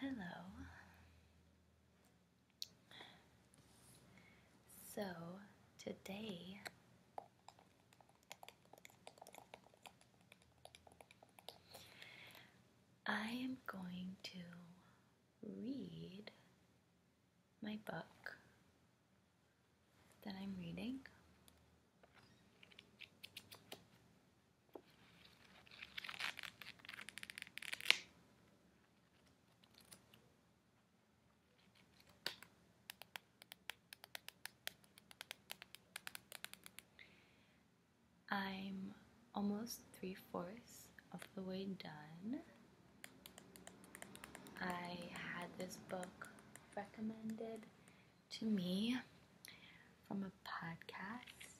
Hello. So, today I am going to read my book that I'm reading. I'm almost three fourths of the way done. I had this book recommended to me from a podcast.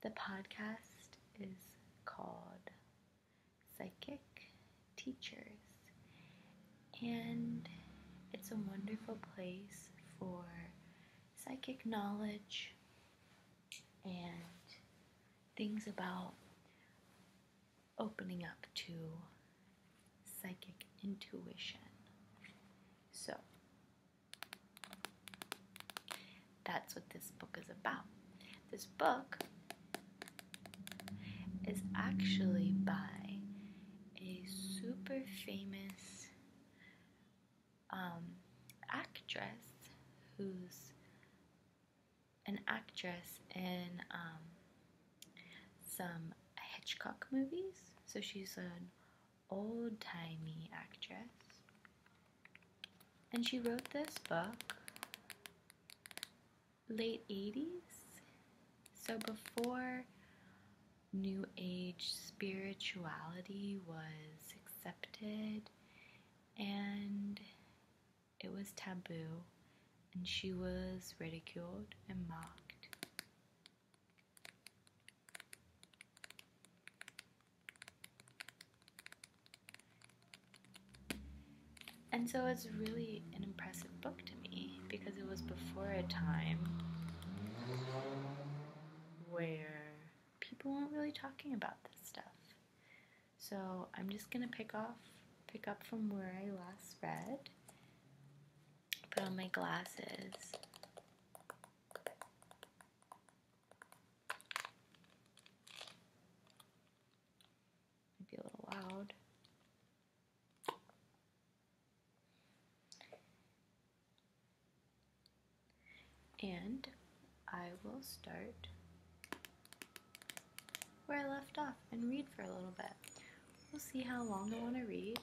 The podcast is called Psychic Teachers, and it's a wonderful place for psychic knowledge and things about opening up to psychic intuition. So, that's what this book is about. This book is actually by a super famous um, actress who's an actress in um, some Hitchcock movies. So she's an old timey actress. And she wrote this book late 80s. So before New Age spirituality was accepted and it was taboo, and she was ridiculed and mocked. And so it's really an impressive book to me because it was before a time where people weren't really talking about this stuff. So I'm just gonna pick off, pick up from where I last read. Put on my glasses. be a little loud. And I will start where I left off and read for a little bit. We'll see how long I want to read.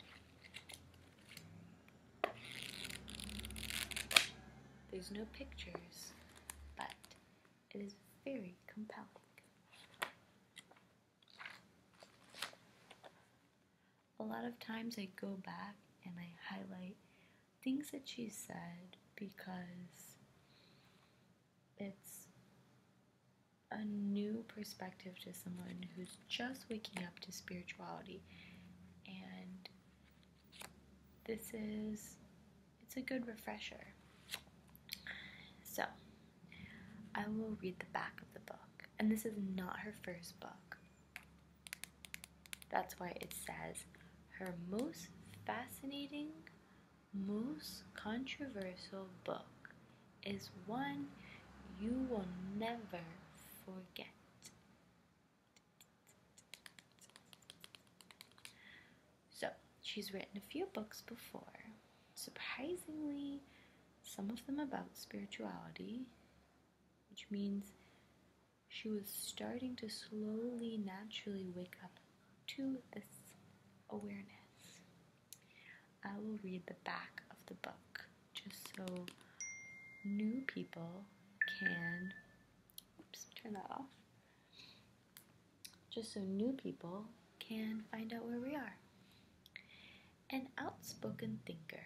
There's no pictures, but it is very compelling. A lot of times I go back and I highlight things that she said because it's a new perspective to someone who's just waking up to spirituality and this is it's a good refresher so i will read the back of the book and this is not her first book that's why it says her most fascinating, most controversial book is one you will never forget. So, she's written a few books before. Surprisingly, some of them about spirituality, which means she was starting to slowly, naturally wake up to this awareness. I will read the back of the book just so new people can. Oops, turn that off. Just so new people can find out where we are. An outspoken thinker,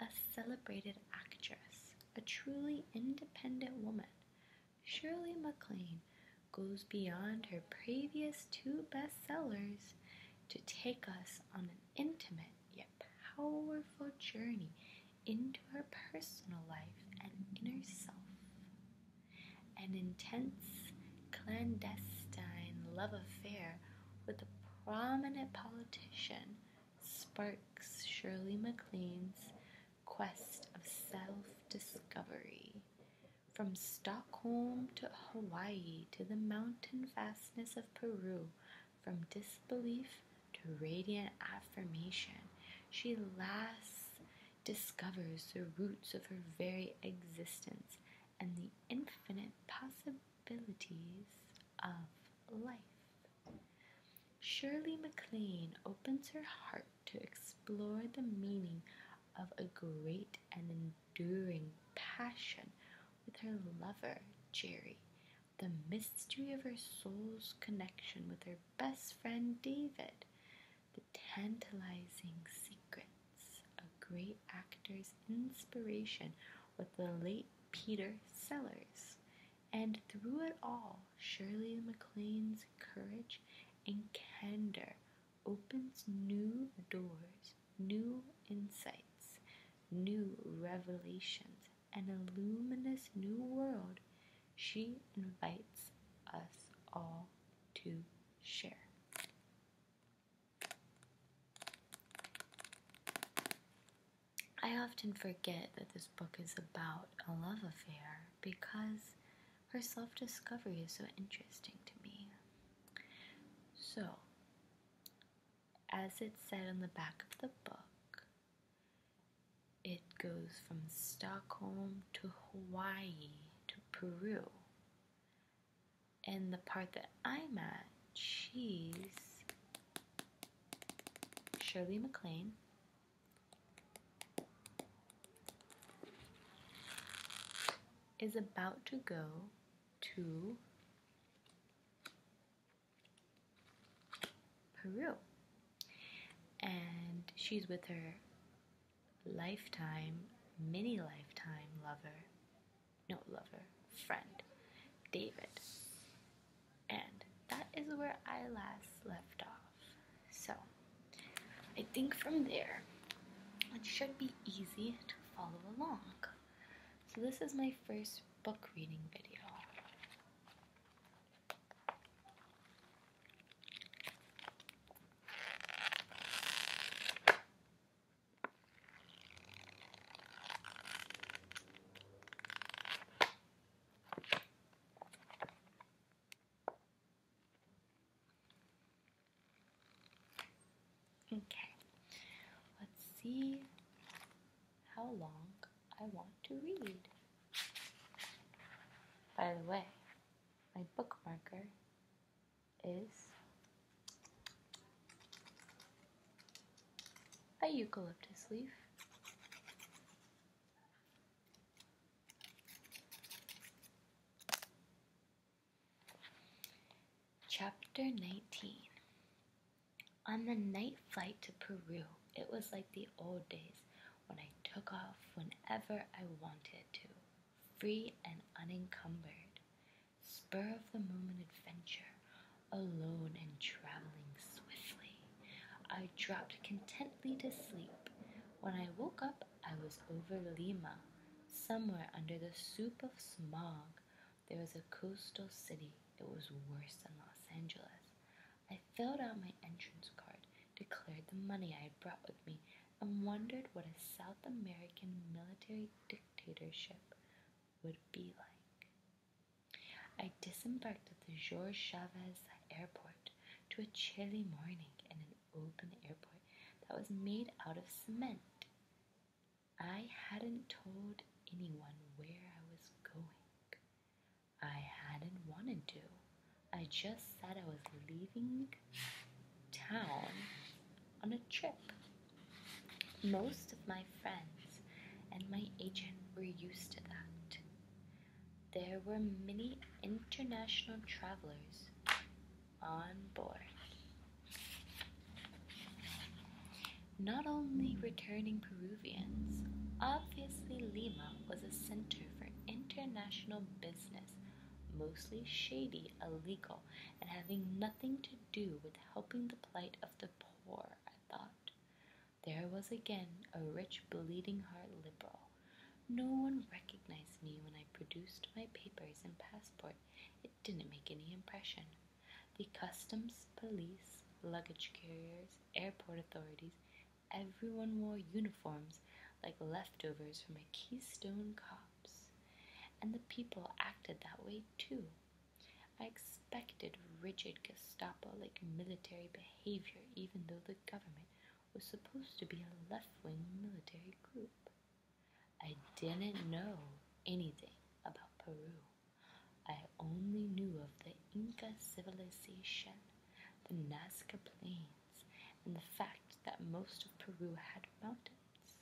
a celebrated actress, a truly independent woman, Shirley MacLaine goes beyond her previous two bestsellers to take us on an intimate yet powerful journey into her personal life and inner self. An intense, clandestine love affair with a prominent politician sparks Shirley McLean's quest of self discovery. From Stockholm to Hawaii to the mountain fastness of Peru, from disbelief to radiant affirmation, she last discovers the roots of her very existence and the infinite possibilities of life. Shirley MacLaine opens her heart to explore the meaning of a great and enduring passion with her lover, Jerry, the mystery of her soul's connection with her best friend, David, the tantalizing secrets of great actor's inspiration with the late Peter Sellers, and through it all, Shirley MacLaine's courage and candor opens new doors, new insights, new revelations, an illuminous new world she invites us all to share. I often forget that this book is about a love affair because her self discovery is so interesting to me. So, as it said on the back of the book, it goes from Stockholm to Hawaii to Peru. And the part that I'm at, she's Shirley MacLaine, is about to go to Peru. And she's with her lifetime, mini lifetime lover, no lover, friend, David and that is where I last left off. So, I think from there it should be easy to follow along. So, this is my first book reading video. Okay, let's see how long I want to read. By the way, my bookmarker is a eucalyptus leaf, Chapter 19 On the night flight to Peru, it was like the old days when I took off whenever I wanted to, free and unencumbered. Spur of the moment adventure alone and traveling swiftly. I dropped contentedly to sleep. When I woke up, I was over Lima. Somewhere under the soup of smog, there was a coastal city. It was worse than Los Angeles. I filled out my entrance card, declared the money I had brought with me, and wondered what a South American military dictatorship would be like. I disembarked at the Georges Chavez airport to a chilly morning in an open airport that was made out of cement. I hadn't told anyone where I was going. I hadn't wanted to. I just said I was leaving town on a trip. Most of my friends and my agent were used to that. There were many international travelers on board. Not only returning Peruvians, obviously Lima was a center for international business, mostly shady, illegal, and having nothing to do with helping the plight of the poor, I thought. There was again a rich, bleeding heart liberal. No one recognized me when I produced my papers and passport. It didn't make any impression. The customs, police, luggage carriers, airport authorities, everyone wore uniforms like leftovers from a Keystone Cops. And the people acted that way too. I expected rigid Gestapo like military behavior, even though the government was supposed to be a left wing military group. I didn't know anything about Peru. I only knew of the Inca civilization, the Nazca Plains, and the fact that most of Peru had mountains.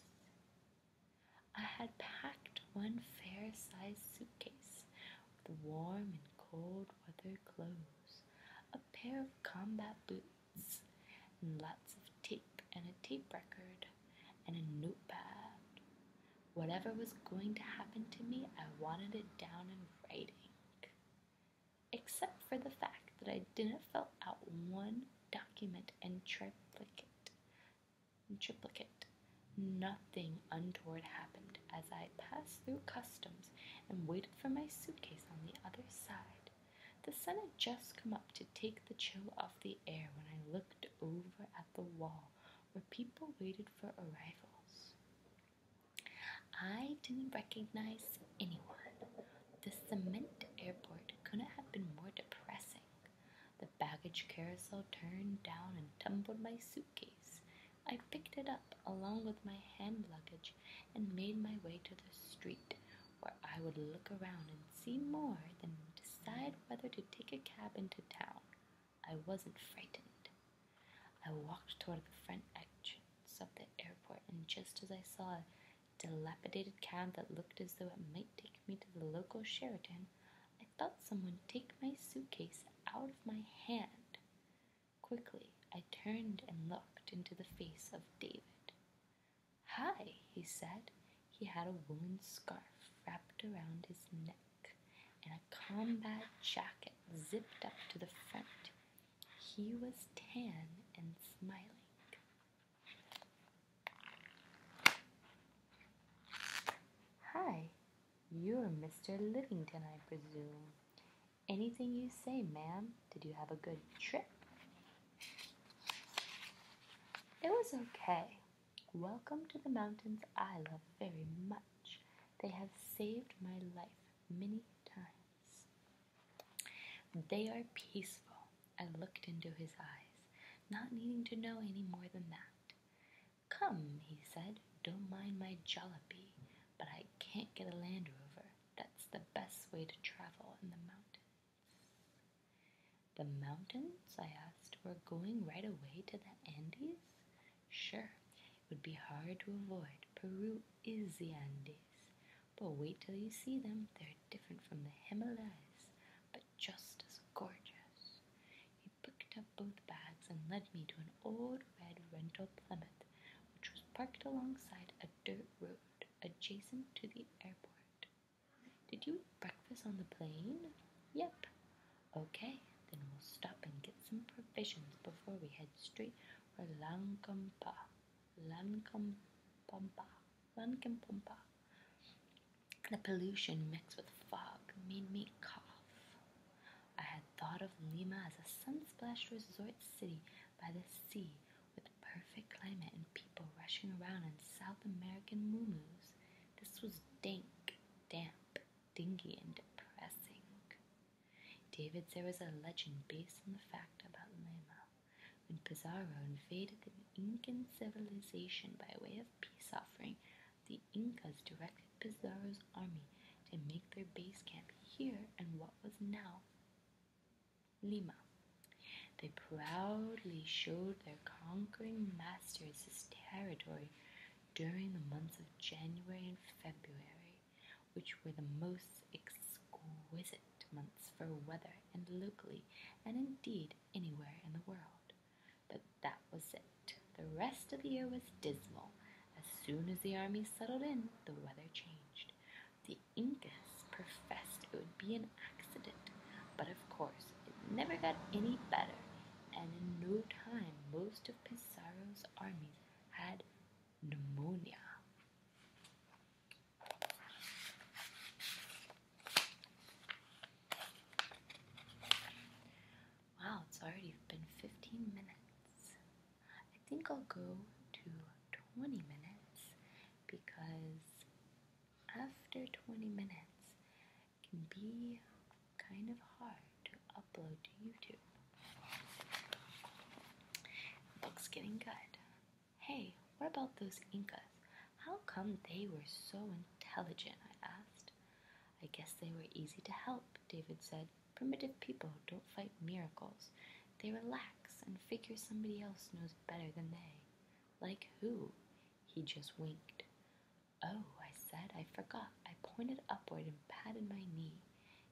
I had packed one fair sized suitcase with warm and cold weather clothes, a pair of combat boots, and lots of tape and a tape record and a notepad. Whatever was going to happen to me, I wanted it down in writing. Except for the fact that I didn't fill out one document and triplicate, triplicate. Nothing untoward happened as I passed through customs and waited for my suitcase on the other side. The sun had just come up to take the chill off the air when I looked over at the wall where people waited for arrivals. I didn't recognize anyone. The cement airport couldn't have been more depressing. The baggage carousel turned down and tumbled my suitcase. I picked it up along with my hand luggage and made my way to the street where I would look around and see more than decide whether to take a cab into town. I wasn't frightened. I walked toward the front entrance of the airport, and just as I saw a dilapidated cab that looked as though it might take me to the local Sheraton, I felt someone take my suitcase out of my hand. Quickly, I turned and looked into the face of David. Hi, he said. He had a woolen scarf wrapped around his neck and a combat jacket zipped up to the front. He was tan and smiling. Hi, you're Mr. Livington, I presume. Anything you say, ma'am. Did you have a good trip? It was okay. Welcome to the mountains I love very much. They have saved my life many times. They are peaceful. I looked into his eyes, not needing to know any more than that. Come, he said, don't mind my jollopy, but I can't get a Land Rover. That's the best way to travel in the mountains. The mountains? I asked. We're going right away to the Andes? Sure, it would be hard to avoid. Peru is the Andes. But wait till you see them. They're different from the Himalayas but just as gorgeous. He picked up both bags and led me to an old red rental Plymouth, which was parked alongside a dirt road adjacent to the airport. Did you eat breakfast on the plane? Yep. Okay, then we'll stop and get some provisions before we head straight for Lankampa. Lankampampa. Wankimpumpa. The pollution mixed with fog made me cough. I had thought of Lima as a sun-splashed resort city by the sea with perfect climate and people rushing around in South American muumuus. This was dank, damp, dingy, and depressing. David, there was a legend based on the fact about Lima. When Pizarro invaded the Incan civilization by way of peace offering, the Incas directed Pizarro's army to make their base camp here in what was now Lima. They proudly showed their conquering masters this territory during the months of January and February, which were the most exquisite months for weather and locally, and indeed anywhere in the world. But that was it. The rest of the year was dismal. As soon as the army settled in, the weather changed. The Incas professed it would be an accident, but of course it never got any better, and in no time most of Pizarro's armies had pneumonia. Wow, it's already been 15 minutes. I think I'll go to 20 minutes because after 20 minutes it can be kind of hard to upload to YouTube. Book's getting good. Hey, what about those Incas? How come they were so intelligent? I asked. I guess they were easy to help, David said. Primitive people don't fight miracles. They relax and figure somebody else knows better than they. Like who? He just winked. Oh, I said, I forgot. I pointed upward and patted my knee.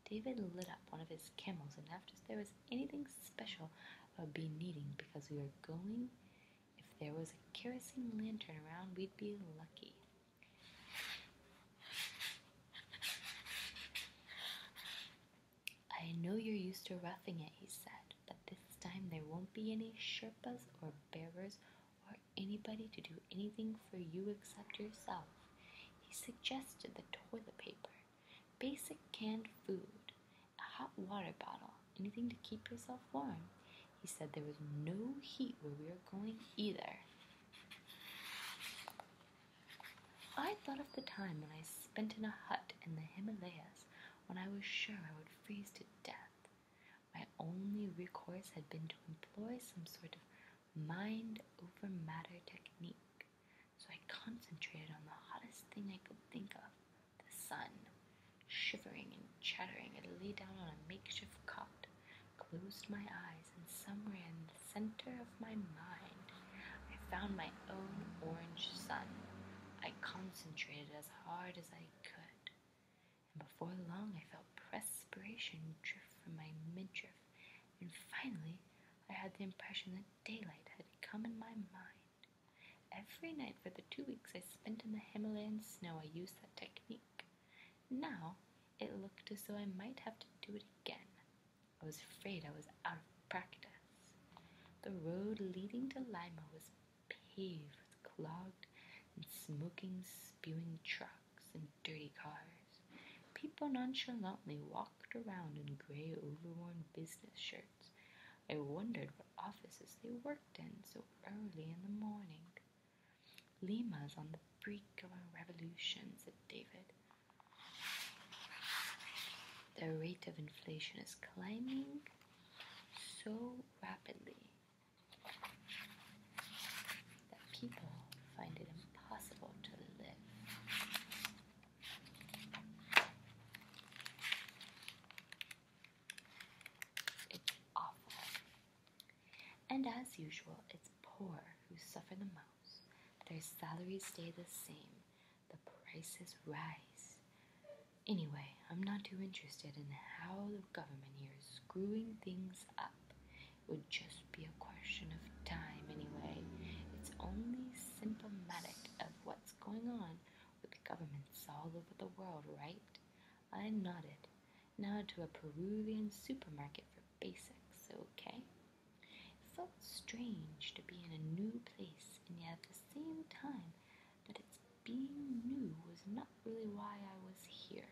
David lit up one of his camels and asked if there was anything special i about be needing because we were going if there was a kerosene lantern around, we'd be lucky. I know you're used to roughing it, he said, but this time there won't be any Sherpas or bearers or anybody to do anything for you except yourself. He suggested the toilet paper, basic canned food, a hot water bottle, anything to keep yourself warm. He said there was no heat where we were going either. I thought of the time when I spent in a hut in the Himalayas when I was sure I would freeze to death. My only recourse had been to employ some sort of mind over matter technique, so I concentrated on the hottest thing I could think of the sun, shivering and chattering, I lay down on a makeshift cot, closed my eyes, and somewhere in the center of my mind, I found my own orange sun. I concentrated as hard as I could, and before long I felt perspiration drift from my midriff, and finally I had the impression that daylight had come in my mind. Every night for the two weeks I spent in the Himalayan snow, I used that technique. Now it looked as though I might have to do it again. I was afraid I was out of practice. The road leading to Lima was paved with clogged and smoking, spewing trucks and dirty cars. People nonchalantly walked around in gray, overworn business shirts, I wondered what offices they worked in so early in the morning. Lima's on the brink of a revolution, said David. The rate of inflation is climbing so rapidly that people find it impossible to live. It's awful. And as usual, it's poor who suffer the most. Their salaries stay the same, the prices rise. Anyway, I'm not too interested in how the government here is screwing things up. It would just be a question of time, anyway. It's only symptomatic of what's going on with governments all over the world, right? I nodded. Now to a Peruvian supermarket for basics, okay? It felt strange to be in a new place, and yet at the same time that its being new was not really why I was here.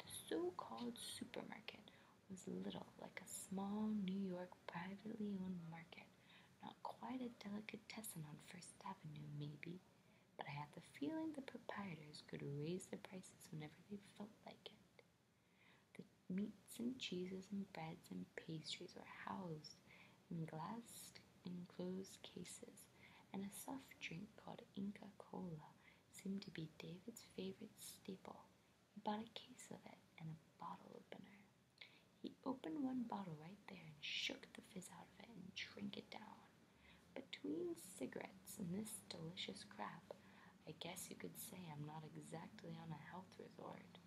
The so called supermarket was little like a small New York privately owned market not quite a delicatessen on First Avenue, maybe, but I had the feeling the proprietors could raise the prices whenever they felt like it. The meats and cheeses and breads and pastries were housed in glass enclosed cases, and a soft drink called Inca Cola seemed to be David's favorite staple. He bought a case of it and a bottle opener. He opened one bottle right there and shook the fizz out of it and drank it down. Between cigarettes and this delicious crap, I guess you could say I'm not exactly on a health resort.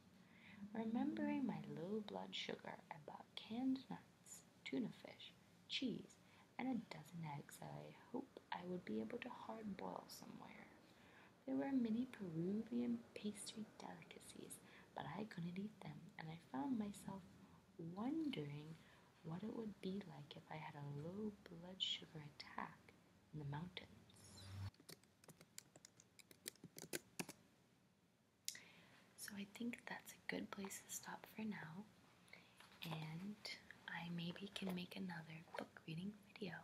Remembering my low blood sugar, I bought canned nuts, tuna fish, cheese, and a dozen eggs that I hope I would be able to hard boil somewhere. There were many Peruvian pastry delicacies but I couldn't eat them, and I found myself wondering what it would be like if I had a low blood sugar attack in the mountains. So I think that's a good place to stop for now, and I maybe can make another book reading video.